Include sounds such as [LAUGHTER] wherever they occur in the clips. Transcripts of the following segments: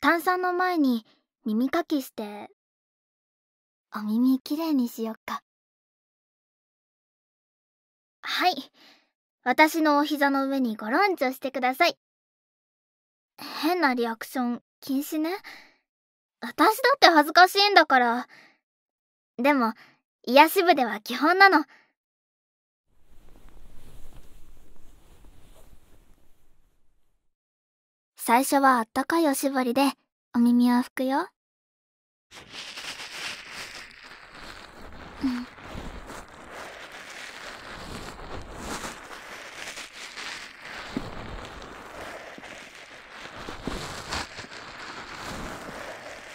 炭酸の前に耳かきしてお耳きれいにしよっかはい私のお膝の上にゴロンチョしてください変なリアクション禁止ね私だって恥ずかしいんだからでも、癒し部では基本なの。最初はあったかいおしぼりでお耳を拭くよ。うん、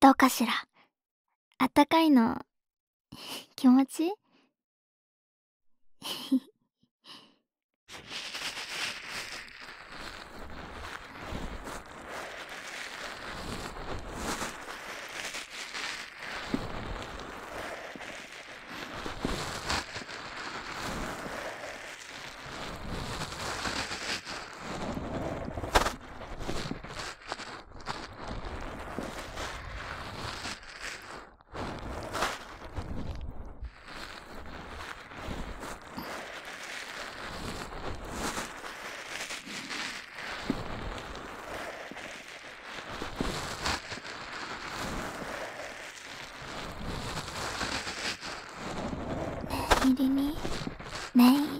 どうかしら。あったかいの、[LAUGHS] 気持ちいい [LAUGHS] 入りにメイン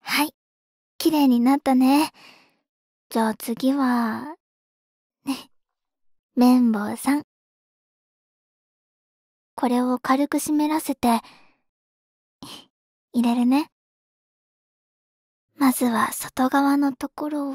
はい。綺麗になったね。じゃあ次は、ね、綿棒さん。これを軽く湿らせて、入れるね。まずは外側のところを、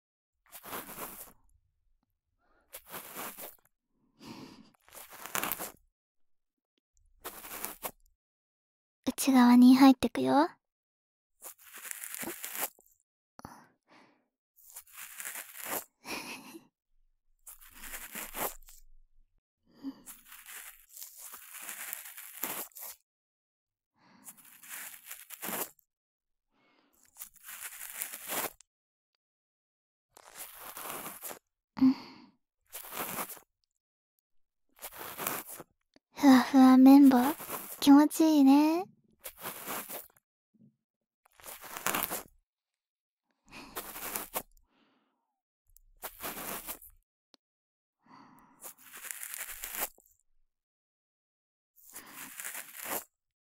内側に入ってくよ。ふわふわ綿棒気持ちいいね。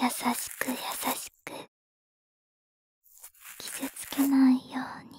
優しく優しく傷つけないように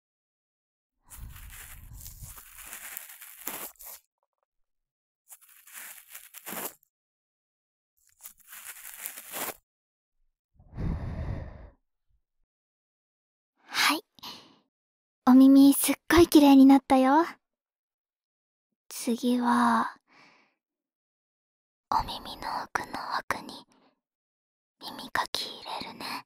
はい。お耳すっごい綺麗になったよ。次は、お耳の奥の奥に耳かき入れるね。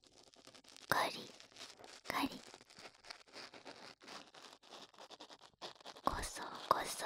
カリカリこそこそ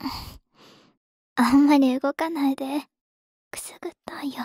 [LAUGHS] あんまり動かないでくすぐったいよ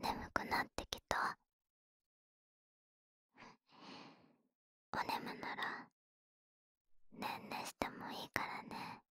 眠くなってきたお眠ならねんねしてもいいからね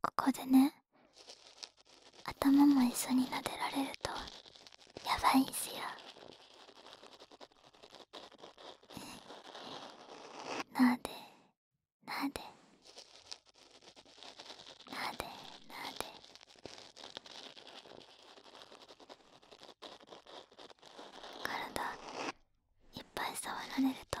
ここでね頭も一緒に撫でられるとやばいんすよなでなでなでなで体いっぱい触られると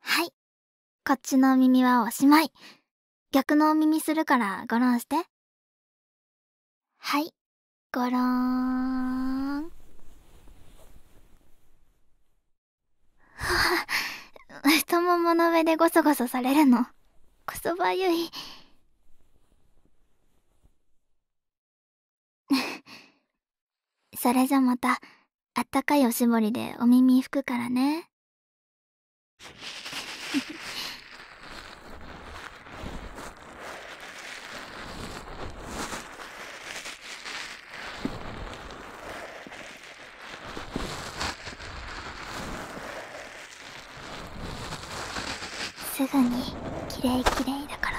はい。こっちのお耳はおしまい。逆のお耳するからごろんして。はい。ごろーん。は [LAUGHS] 太ももの上でゴソゴソされるの。こそばゆい。[LAUGHS] それじゃまたあったかいおしぼりでお耳拭くからね。[LAUGHS] すぐにキレイキレイだから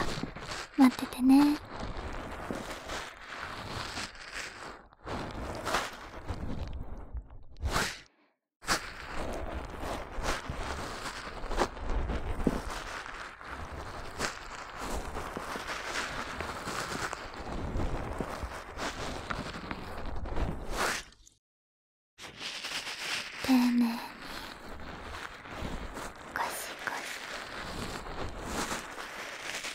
待っててね。丁寧にゴシゴシ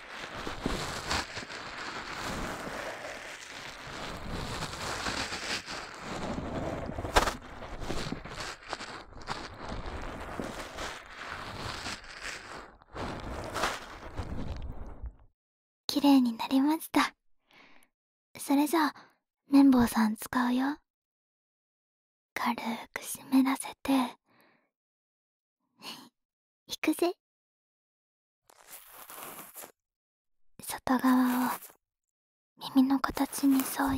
綺麗になりましたそれじゃ綿棒さん使うよ軽く湿らせて行くぜ外側を耳の形に沿うように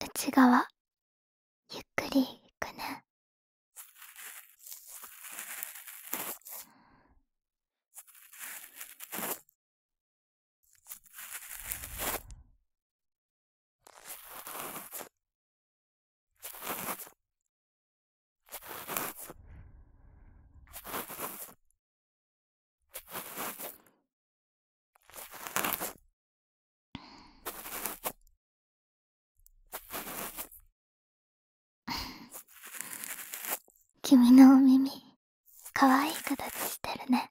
内側ゆっくりいくね君のお耳かわいい形してるね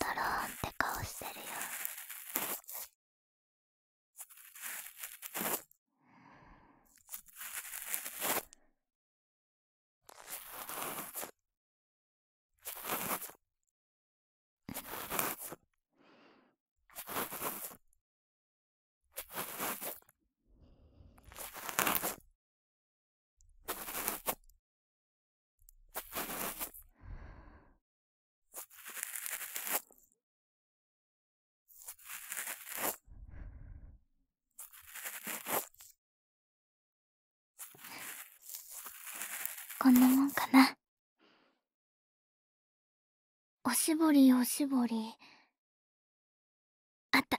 ドローンって顔してるようん。こんなもんかな。おしぼりおしぼり。あった。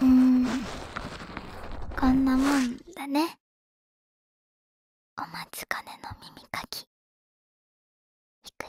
うんこんなもんだねおまつかねの耳かきいくよ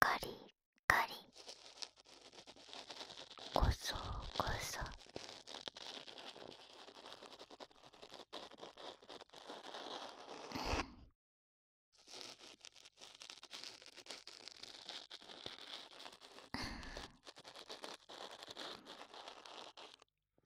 カリカリこそこそ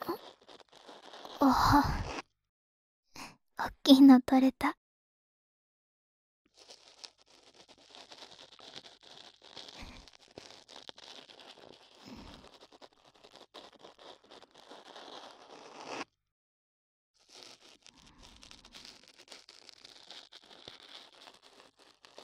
あおおっきいのとれた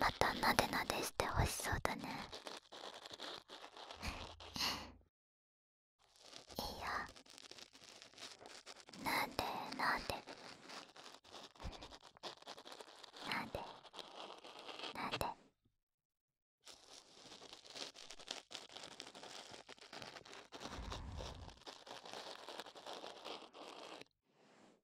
またなでなでしてほしそうだねいいよなでなでなでなで [LAUGHS]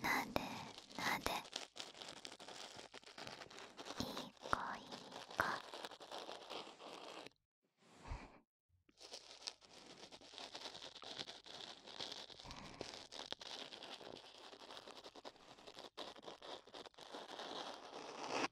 なんでなんでいい子いい子うん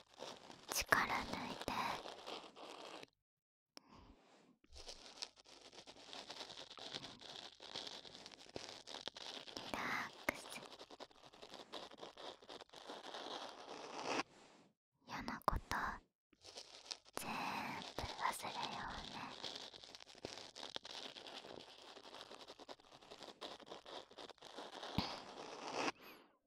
力抜いてリラックス嫌のことぜーんぶ忘れようね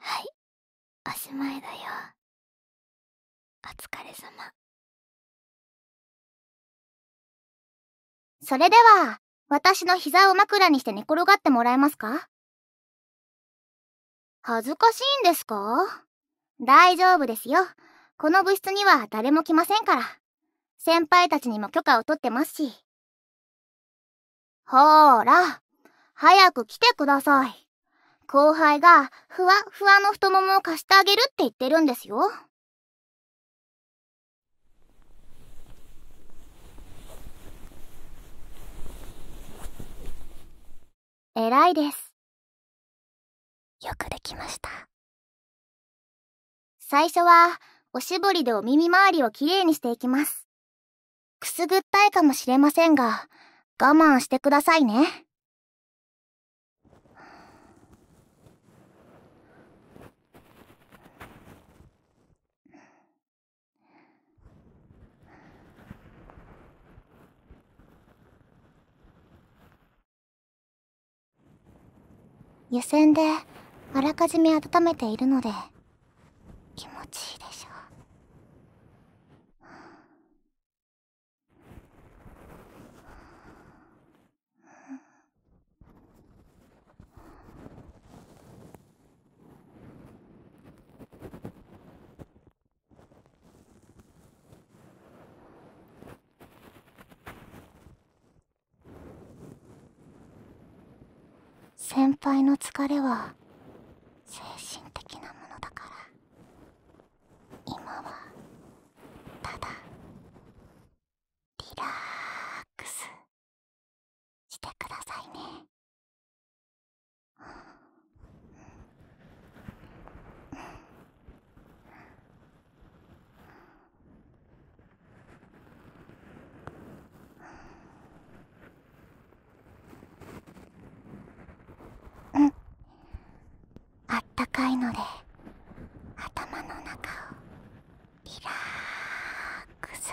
はいおしまいだよお疲れ様それでは私の膝を枕にして寝転がってもらえますか恥ずかしいんですか大丈夫ですよ。この部室には誰も来ませんから。先輩たちにも許可を取ってますし。ほーら、早く来てください。後輩がふわっふわの太ももを貸してあげるって言ってるんですよ。偉いです。よくできました。最初は、おしぼりでお耳周りをきれいにしていきます。くすぐったいかもしれませんが、我慢してくださいね。湯煎であらかじめ温めているので気持ちいいでしょう先輩の疲れは精神的なものだから今はただリラックスしてくださいね。うん、あったかいので頭の中をリラックス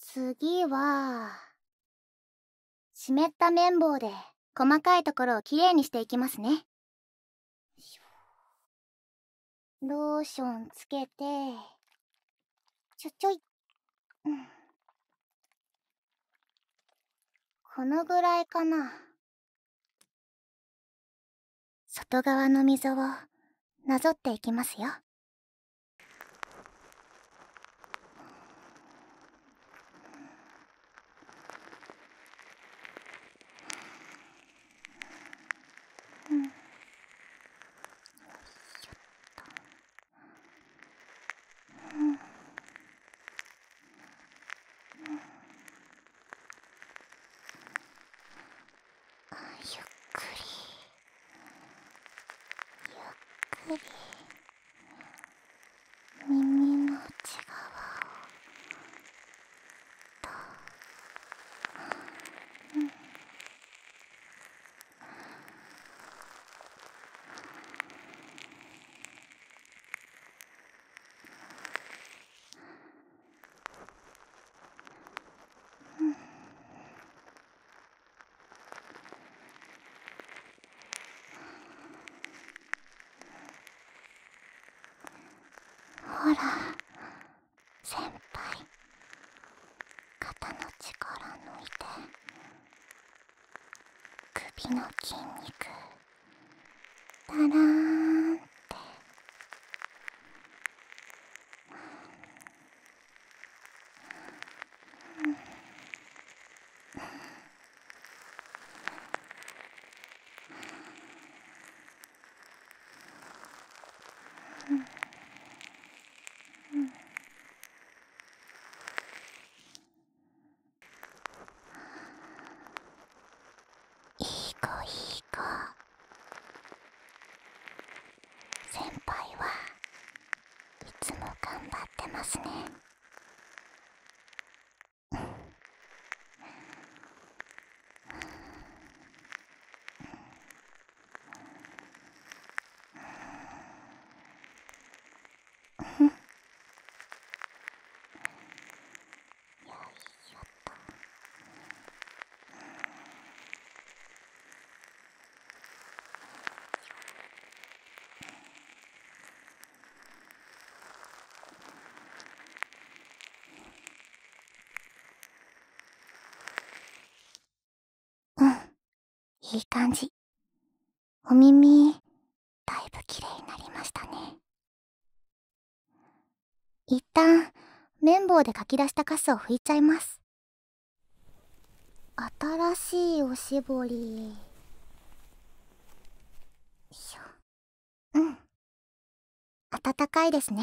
次は、湿った綿棒で細かいところをきれいにしていきますね。ローションつけて、ちょちょいっ [SIGHS] このぐらいかな外側の溝をなぞっていきますよっと。ゆっくりゆっくり耳の内側をと、ん、ほら先輩肩の力抜いて首の筋肉だらーんってうん。いい子いい子先輩はいつも頑張ってますねうん、[LAUGHS] よいしょっと。うん、いい感じ。お耳、だいぶ綺麗になりましたね。一旦、綿棒で書き出したカスを拭いちゃいます。新しいおしぼり。うん。温かいですね。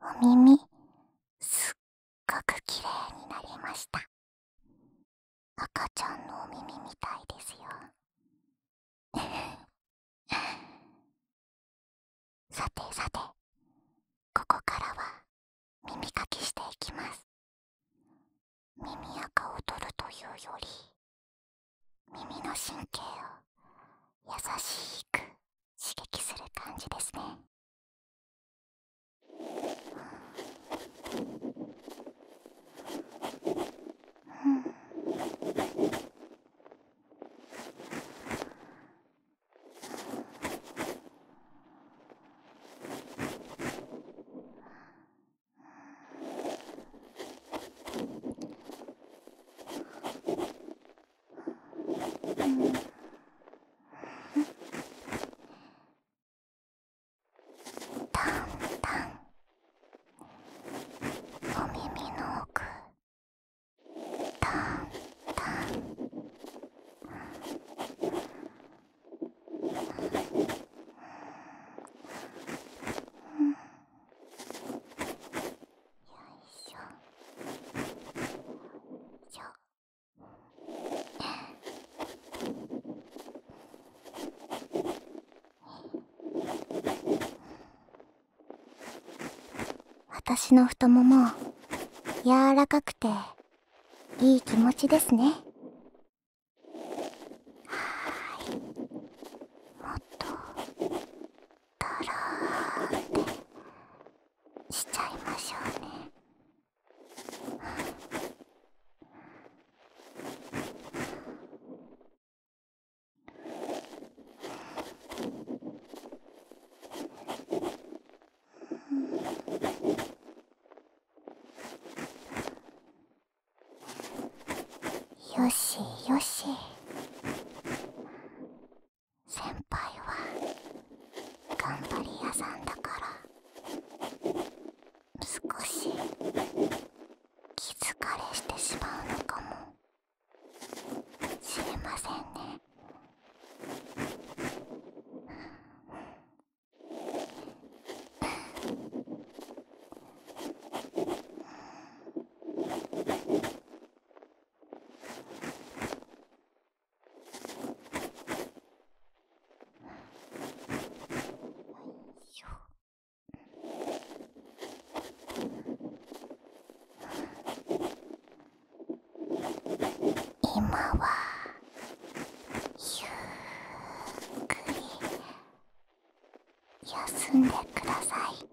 お耳すっごく綺麗になりました赤ちゃんのお耳みたいですよ [LAUGHS] さてさてここからは耳かきしていきます耳垢を取るというより耳の神経を優しく刺激する感じですねうんお耳の奥ん。よいしょ。よいしょ私の太もも柔らかくていい気持ちですねはいもっととろーってしちゃいましょうね。よしよし先輩は頑張り屋さんだから少し気疲れしてしまうのかもしれませんね今はゆっくり休んでください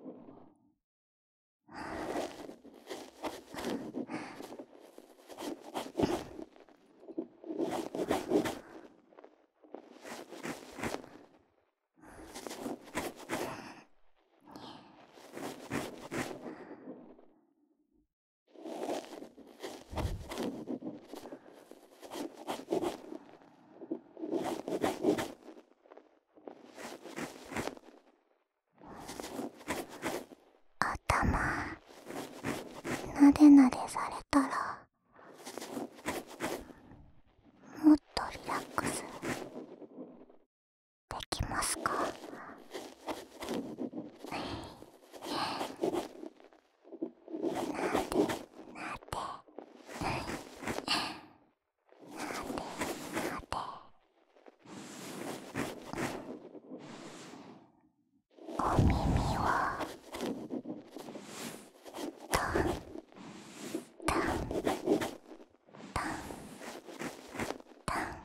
頭なでなでされたらもっとリラックスできますかなでなでお耳はタンタンタンタンタン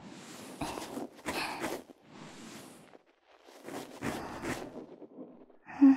うん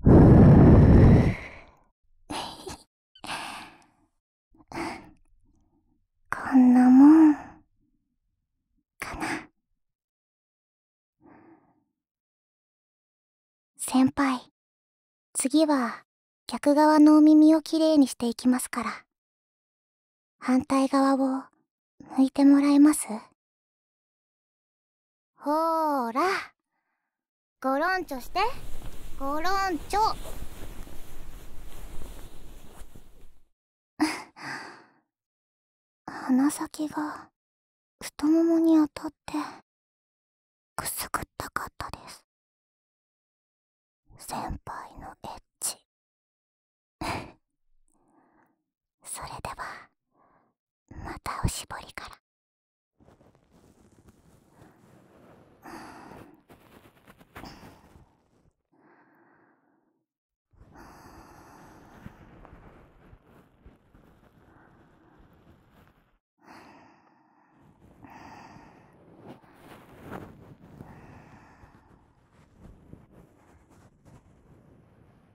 [LAUGHS] こんなもん、かな。先輩、次は逆側のお耳をきれいにしていきますから。反対側を向いてもらえますほーらごろんちょしてゴロンチョ鼻先が太ももに当たってくすぐったかったです先輩のエッチ [LAUGHS] それではまたおしぼりから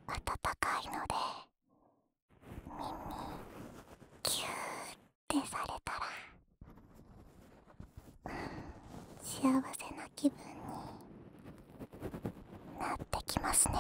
暖かいのでキューってされたら、うん、幸せな気分になってきますね。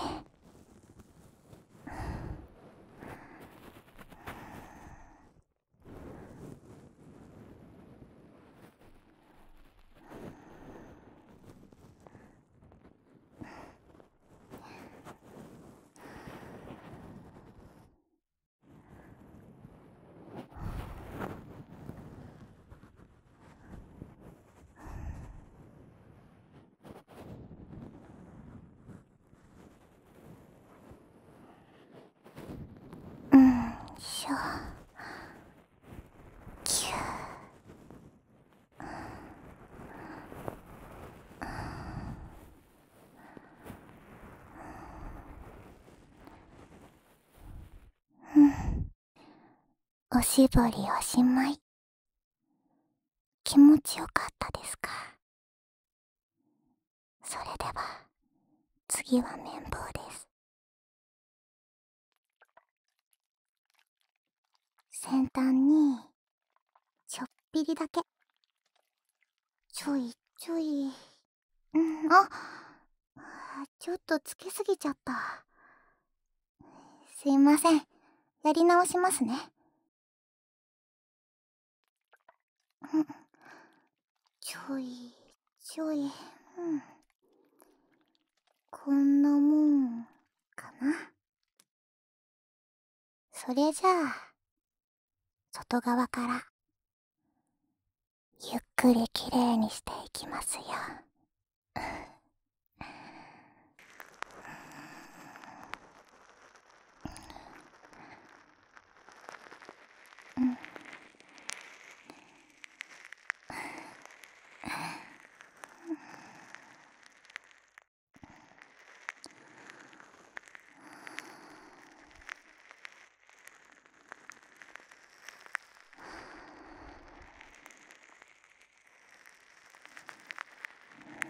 うんしょきゅうおしぼりおしまい気持ちよかったですかそれでは次は綿棒です先端にちょっぴりだけちょいちょいうんあちょっとつけすぎちゃったすいませんやり直しますねうんちょいちょいこんなもんかなそれじゃあ外側からゆっくりきれいにしていきますようん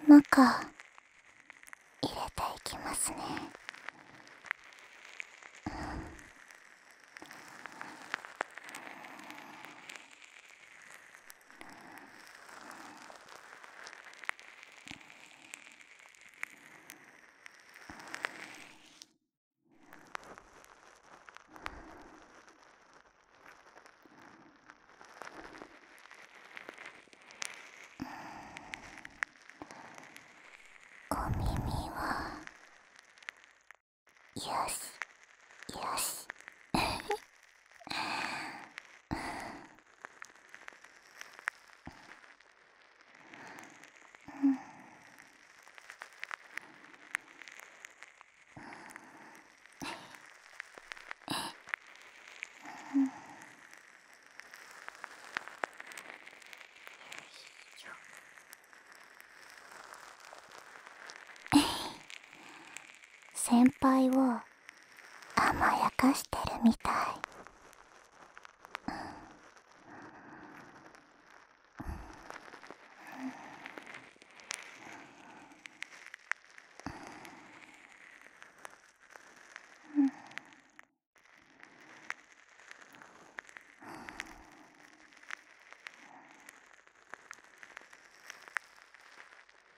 中入れていきますね、うん、お耳はよしよしうん先輩は。甘やかしてるみたい、うんうんうん綿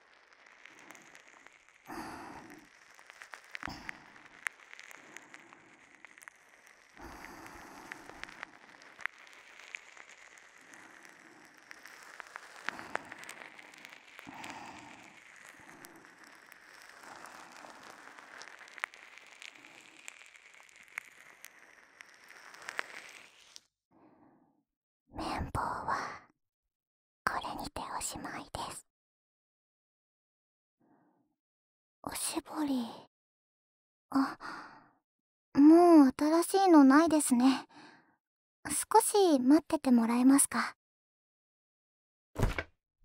棒はこれにておしまいですおしぼりあもう新しいのないですね少し待っててもらえますか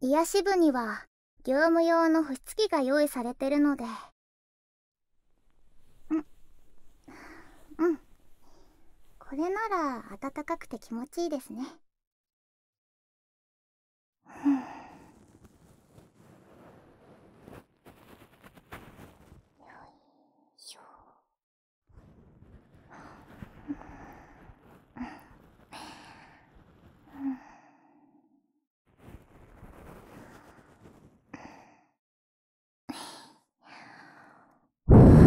癒やし部には業務用の保湿器が用意されてるのでうんうんこれなら暖かくて気持ちいいですねううん。ん。よいしょ。うん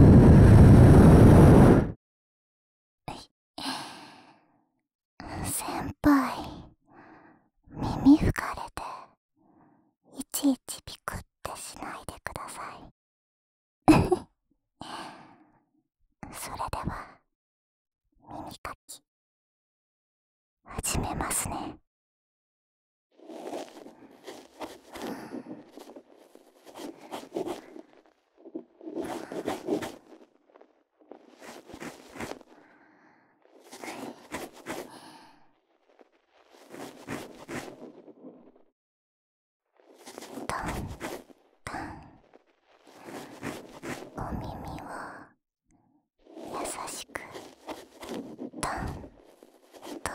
うん先輩耳拭かれていちいちビクってしないでください [LAUGHS] それでは耳かき始めますねお耳を優しくトントン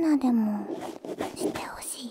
なでなでもしてほしい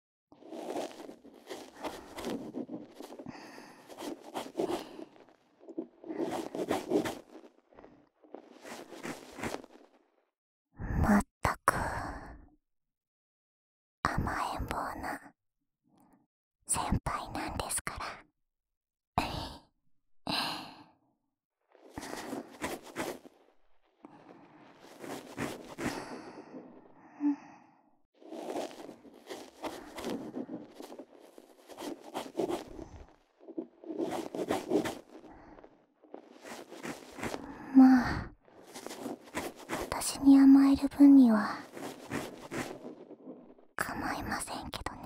まったく甘えん坊な先輩なんですから [LAUGHS] まあ私に甘える分には構いませんけどね。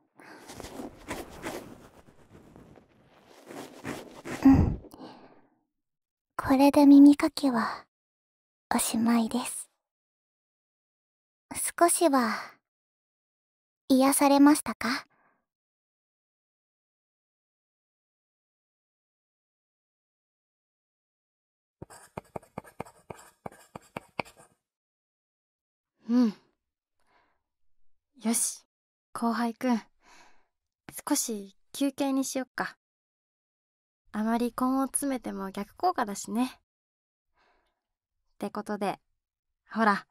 うんこれで耳かきはおしまいです少しは癒されましたかうんよし後輩くん少し休憩にしよっかあまり根を詰めても逆効果だしねってことでほら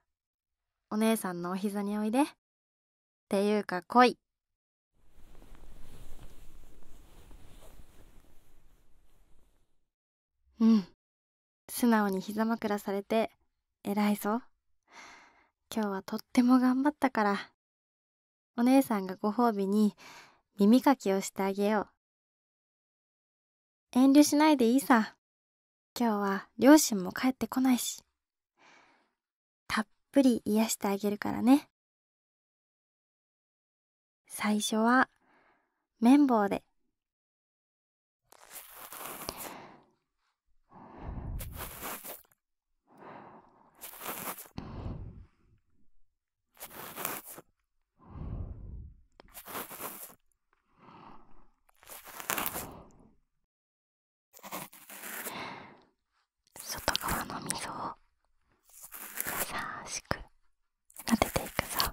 お姉さんのお膝においでっていうか来いうん素直に膝枕されて偉いぞ今日はとっても頑張ったからお姉さんがご褒美に耳かきをしてあげよう遠慮しないでいいさ今日は両親も帰ってこないしたっぷり癒してあげるからね最初は綿棒で外側の溝を優しく撫でていくぞ。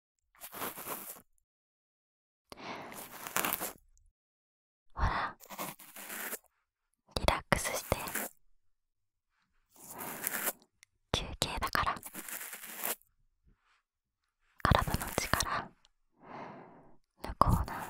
ほらリラックスして休憩だから体の力抜こうな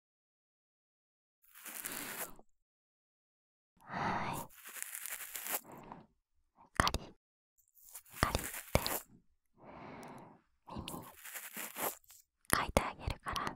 はいカリカリって耳かいてあげるから。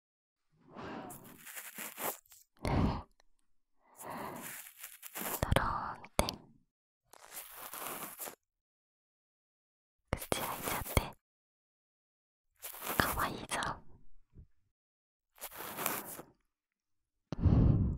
ドローンってく口開いちゃってかわいいぞうん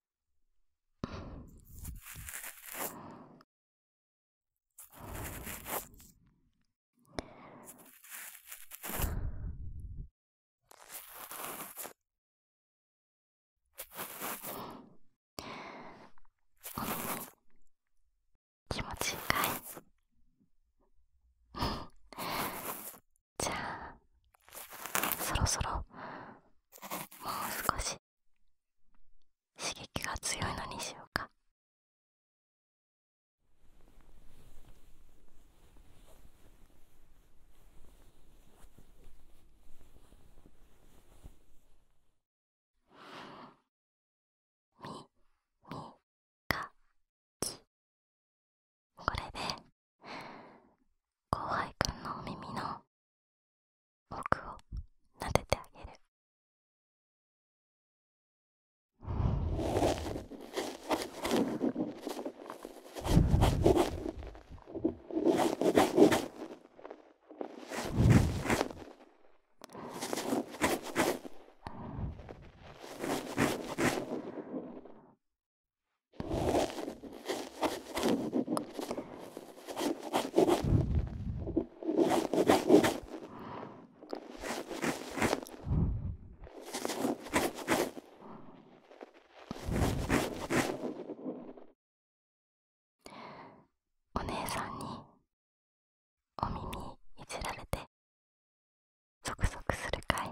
ん。気持ちいいかい [LAUGHS] じゃあそろそろもう少しし刺激が強いのにしようかみみかきこれで後輩くんのお耳の僕を撫でてあげるお姉さんにお耳いじられてゾクゾクするかい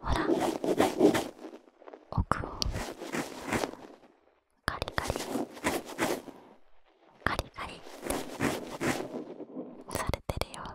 ほら奥をカリカリカリカリされてるよ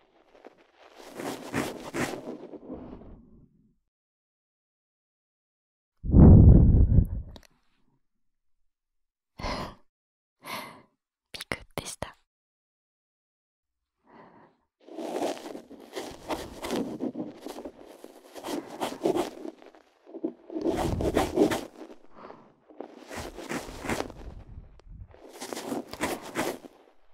ピクッでした。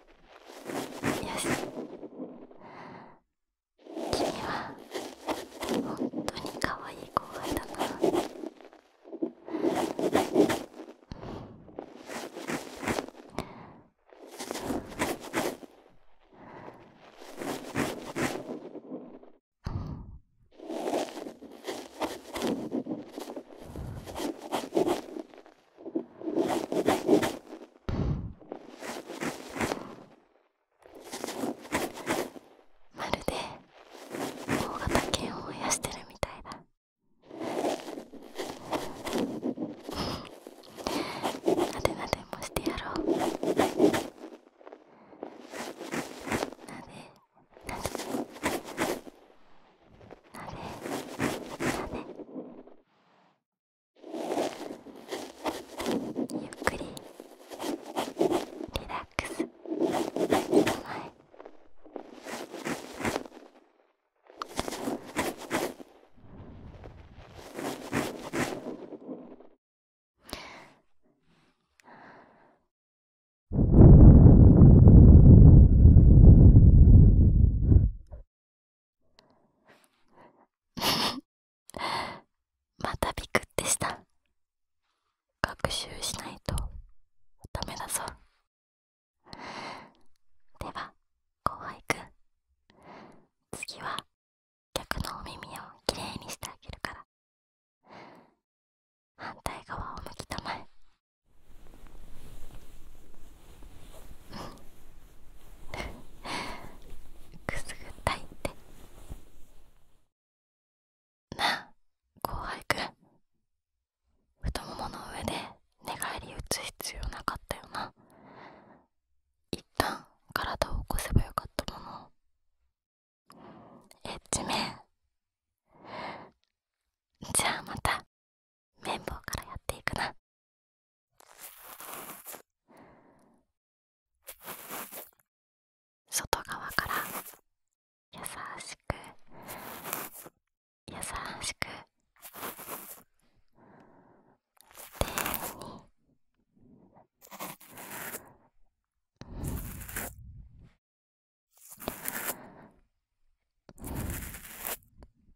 よし君は本当に可愛いい子後輩だなまるで大型犬を燃やしてるみたいだなでなでもしてやろうなでなでなでなでゆっくりリラックスしてもい。[LAUGHS] またビクってした学習しないとダメだぞでは後輩くん次は客のお耳をきれいにしてあげるから反対側を向き止まえくすぐったいってなあ後輩くん太ももの上で寝返り打つ必要なかったよな一旦体を起こせばよかったものエッジメンじゃあまた綿棒からやっていくな外側から優しく優しく丁寧に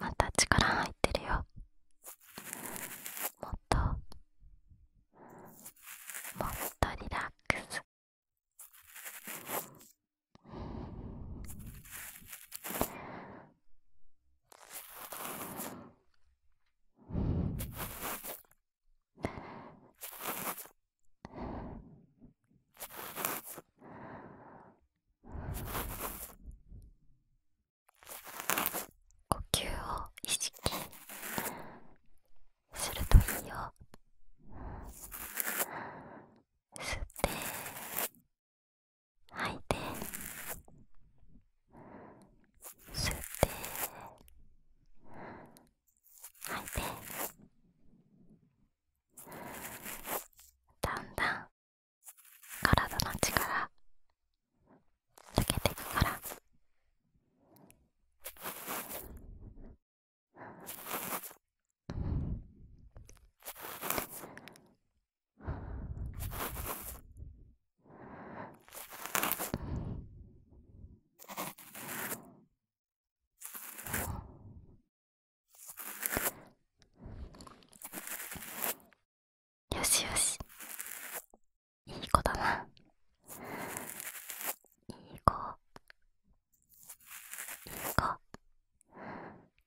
また力入ってるよもっともっとリラックス呼吸を意識するといいよ吸って吐いて吸って吐いてだんだん体の力つけていくから。よしよしいい子だないい子いい子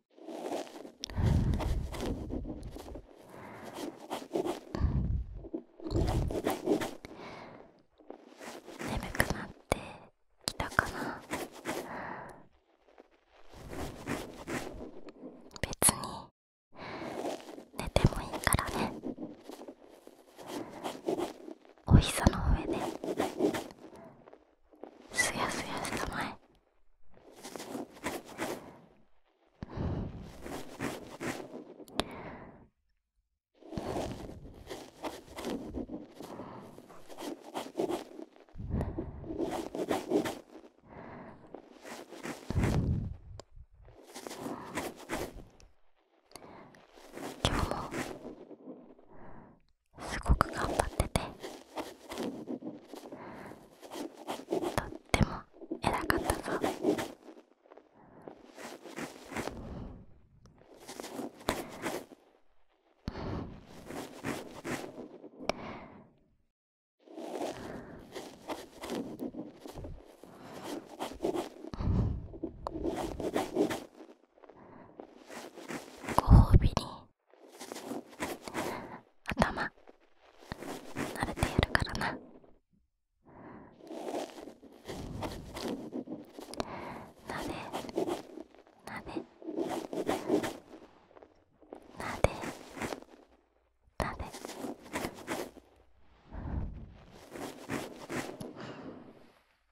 眠くなってきたかな別に寝てもいいからねお膝の上ですやすやしたまえ今日もすごく頑張っててとっても偉かったぞご褒美に頭慣れているからななでなでなでなで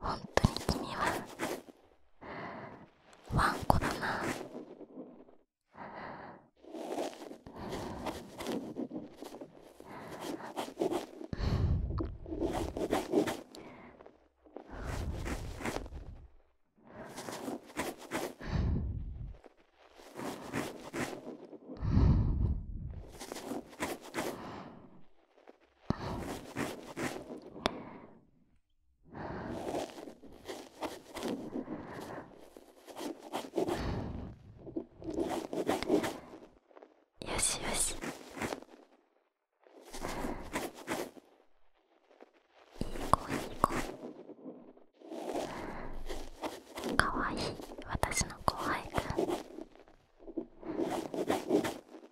本当に君はワンコだなよしよしいい子いい子かわいい私の後輩が。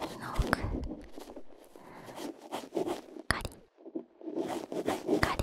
耳の奥カリカリ耳の奥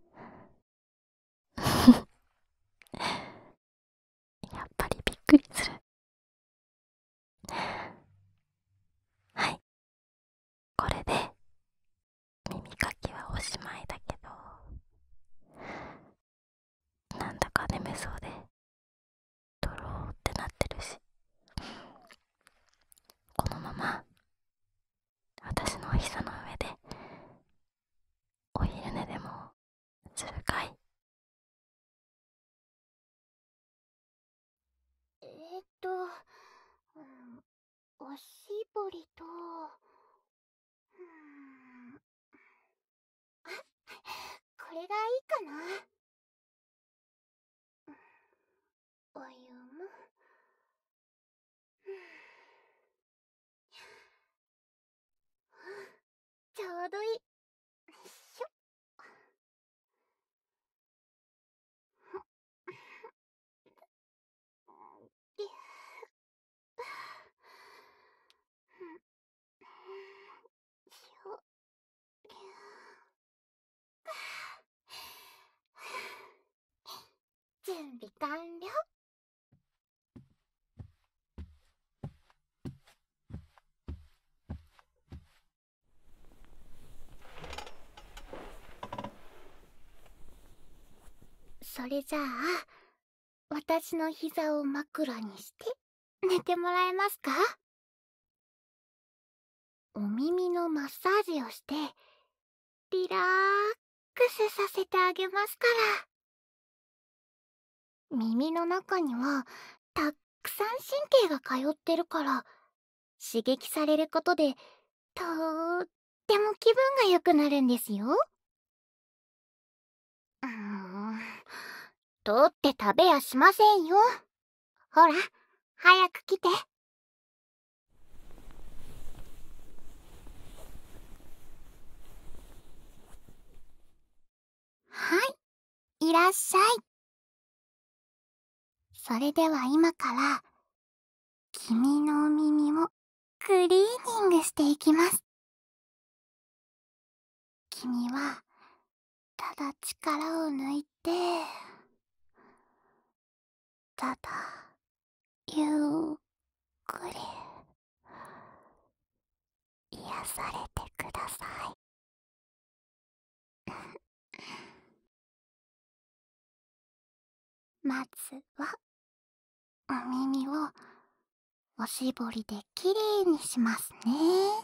[LAUGHS] やっぱりびっくりする。はい。これで耳かきはおしまいだけど、なんだか眠そうで、ドローってなってるし、このままたしのお膝の上でお昼ねでもするかいえー、っと、おしぼりと、うん、あこれがいいかなお湯も。[SIGHS] ちょうどいい。しょ。準備完了それじゃあ私の膝を枕にして寝てもらえますかお耳のマッサージをしてリラックスさせてあげますから。耳の中には、たっくさん神経が通ってるから、刺激されることで、とっても気分が良くなるんですよ。うん、取って食べやしませんよ。ほら、早く来て。はいいらっしゃいそれでは今から君のお耳をクリーニングしていきます君はただ力を抜いてただゆっくり癒されてください [LAUGHS] まずはお耳をおしぼりできれいにしますね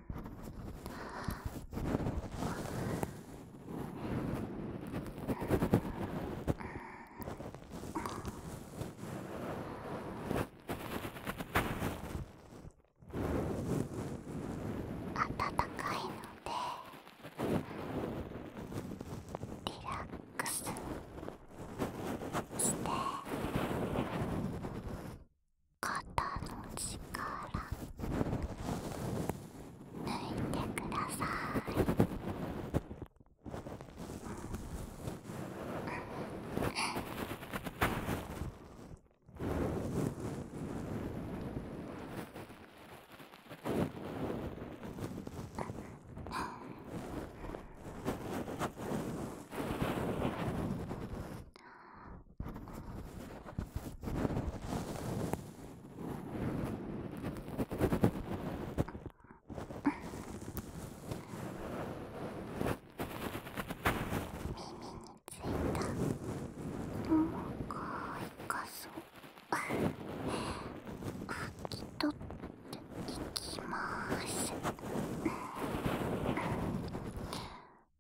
暖かいのでリラックスして肩の力抜いてください、うん、か痛そう拭き取っていきます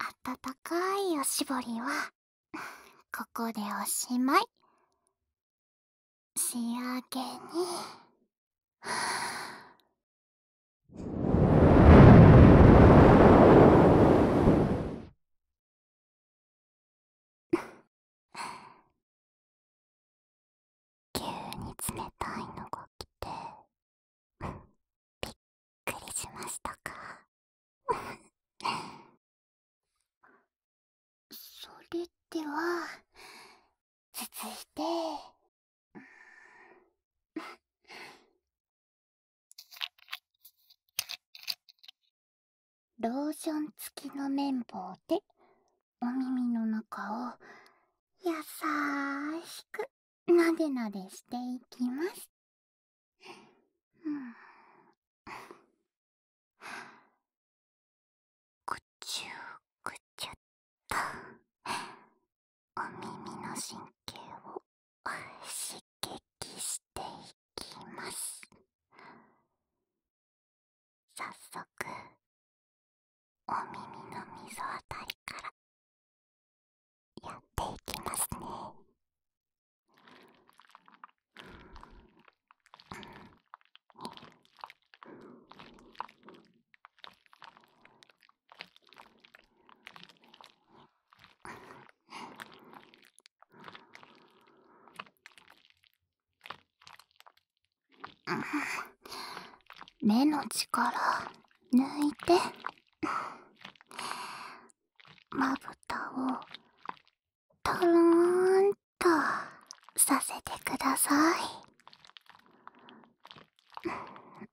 温かいおしぼりは [LAUGHS] ここでおしまい仕上げに急に冷たいのが来てびっくりしましたかそれでは続いてんローション付きの綿棒でお耳の中をや優しくなでなでしていきます。んぐちゅぐちゅっとお耳の神経を刺激していきますさっそく、お耳の溝あたりからやっていきますねん目の力抜いてまぶたをとろーんとさせてください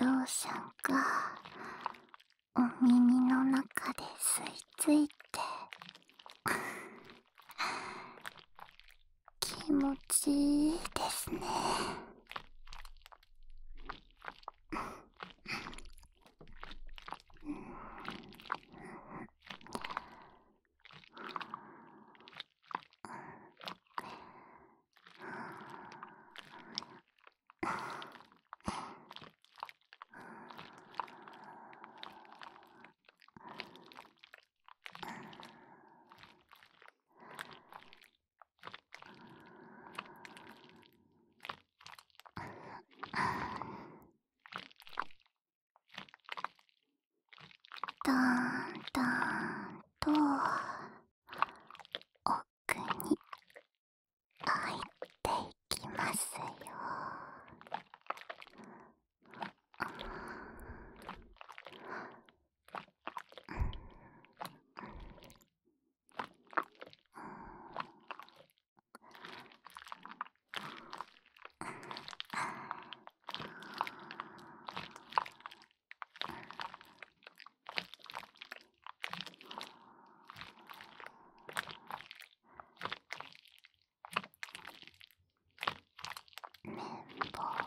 ローショんか、お耳の中で吸い付いて気持ちいいですねだんだんと奥に入っていきますよ。うん綿棒。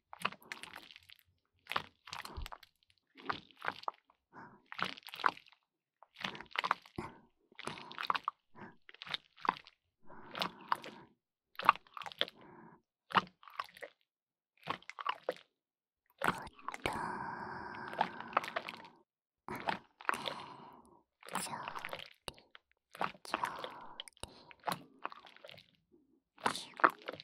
調理調理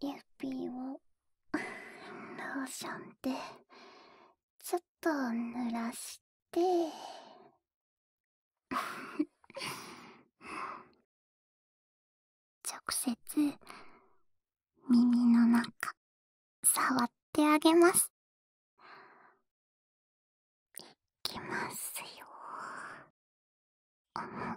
ゆっぴーをローションでちょっと濡らして。[LAUGHS] 直接耳の中触ってあげますいきますよん、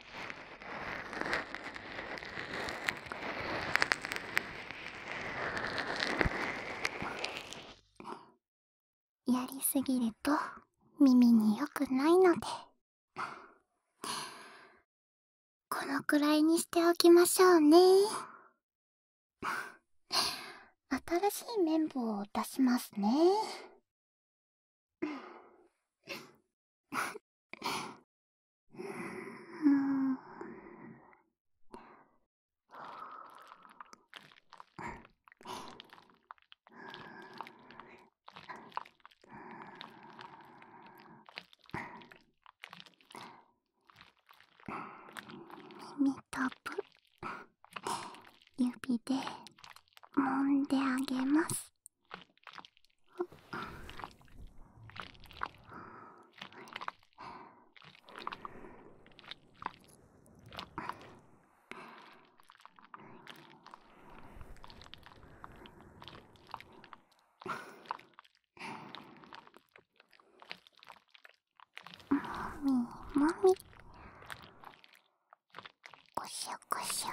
やりすぎると耳によくないのでこのくらいにしておきましょうね新しい綿棒を出しますね耳たぶ指で揉んであげますもみもみこしょこしょ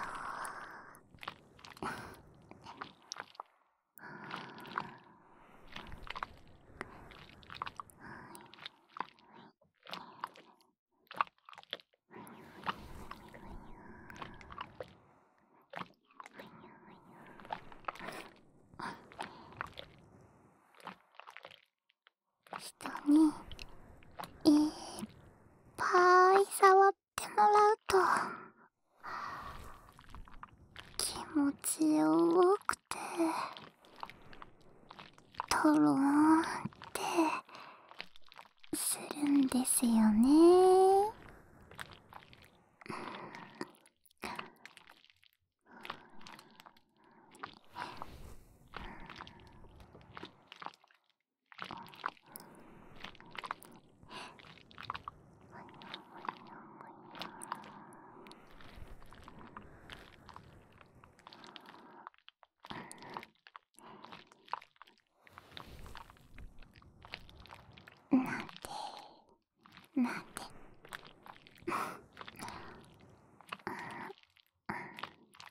下にいっぱい触ってもらうと気持ちよくてとろーんってするんですよね。なんてなんて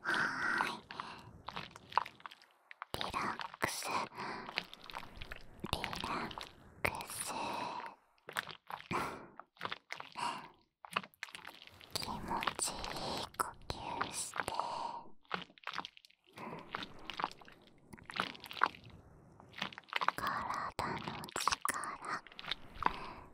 はいリラックスリラックス気持ちいい呼吸して体の力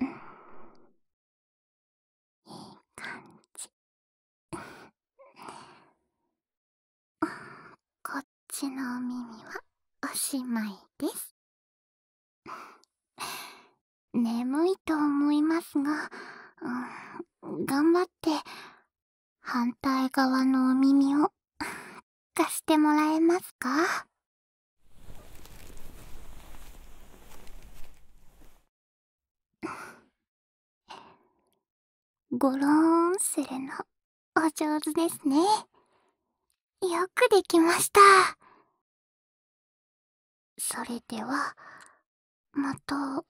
うん、いい感じこっちのお耳はおしまいです眠いと思いますが、うん、頑張って反対側のお耳を [LAUGHS] 貸してもらえますかごろーンするの、お上手ですね。よくできました。それでは、また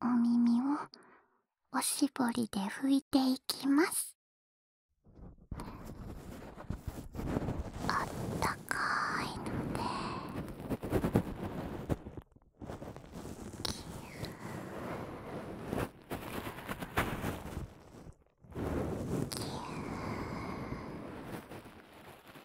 お耳をおしぼりで拭いていきますあったかいのでキューキュー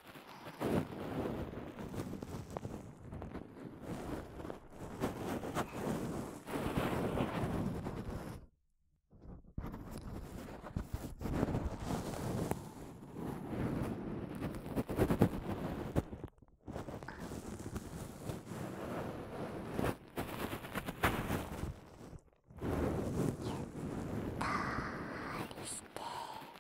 ゆったりして。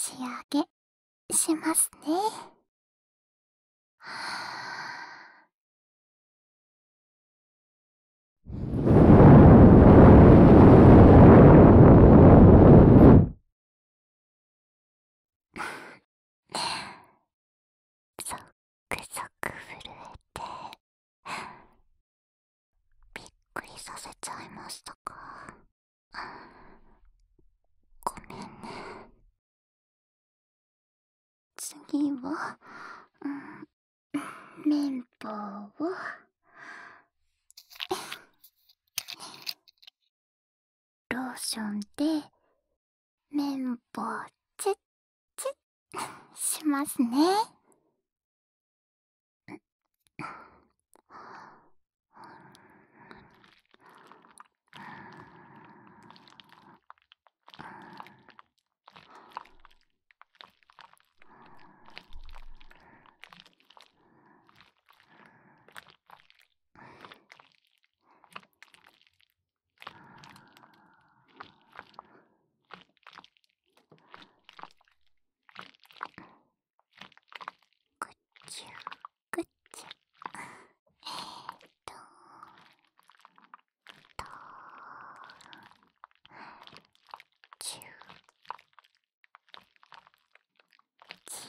仕上げしますね。ゾクゾク震えてびっくりさせちゃいましたかごめんね次は、うん、綿棒をローションで綿棒チュッチュッしますね。ぐっちゃぐっちゃえー、っとー…ちゅうちゅう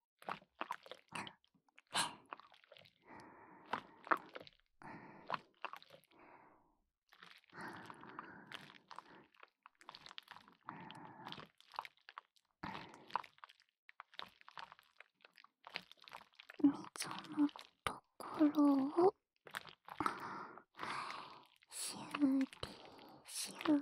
っ、は溝のところをシゅーティーシュー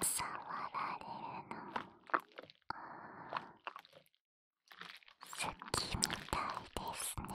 触られるのきみたいですね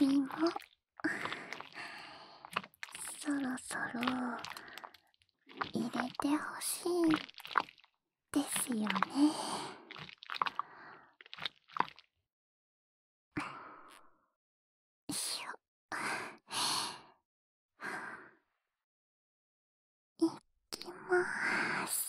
指も [LAUGHS] そろそろ入れてほしいですよねしょいきまーす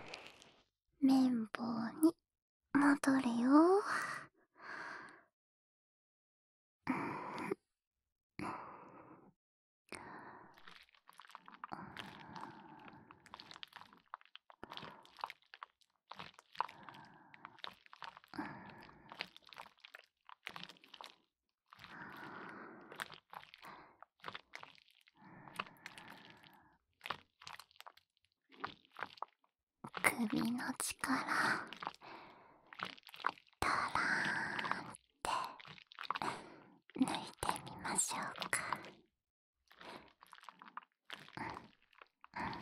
綿棒に戻れよ。ん、首の力たらーんって抜いてみましょうか。ん、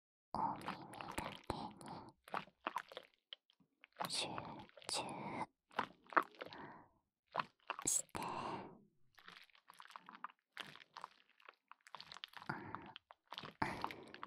お耳だけにちゅ中して、うんうん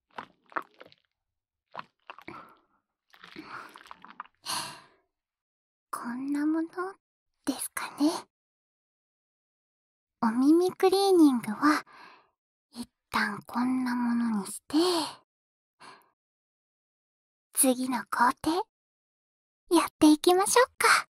こんなものですかねお耳クリーニングは一旦こんなものにして次の工程やっていきましょうか。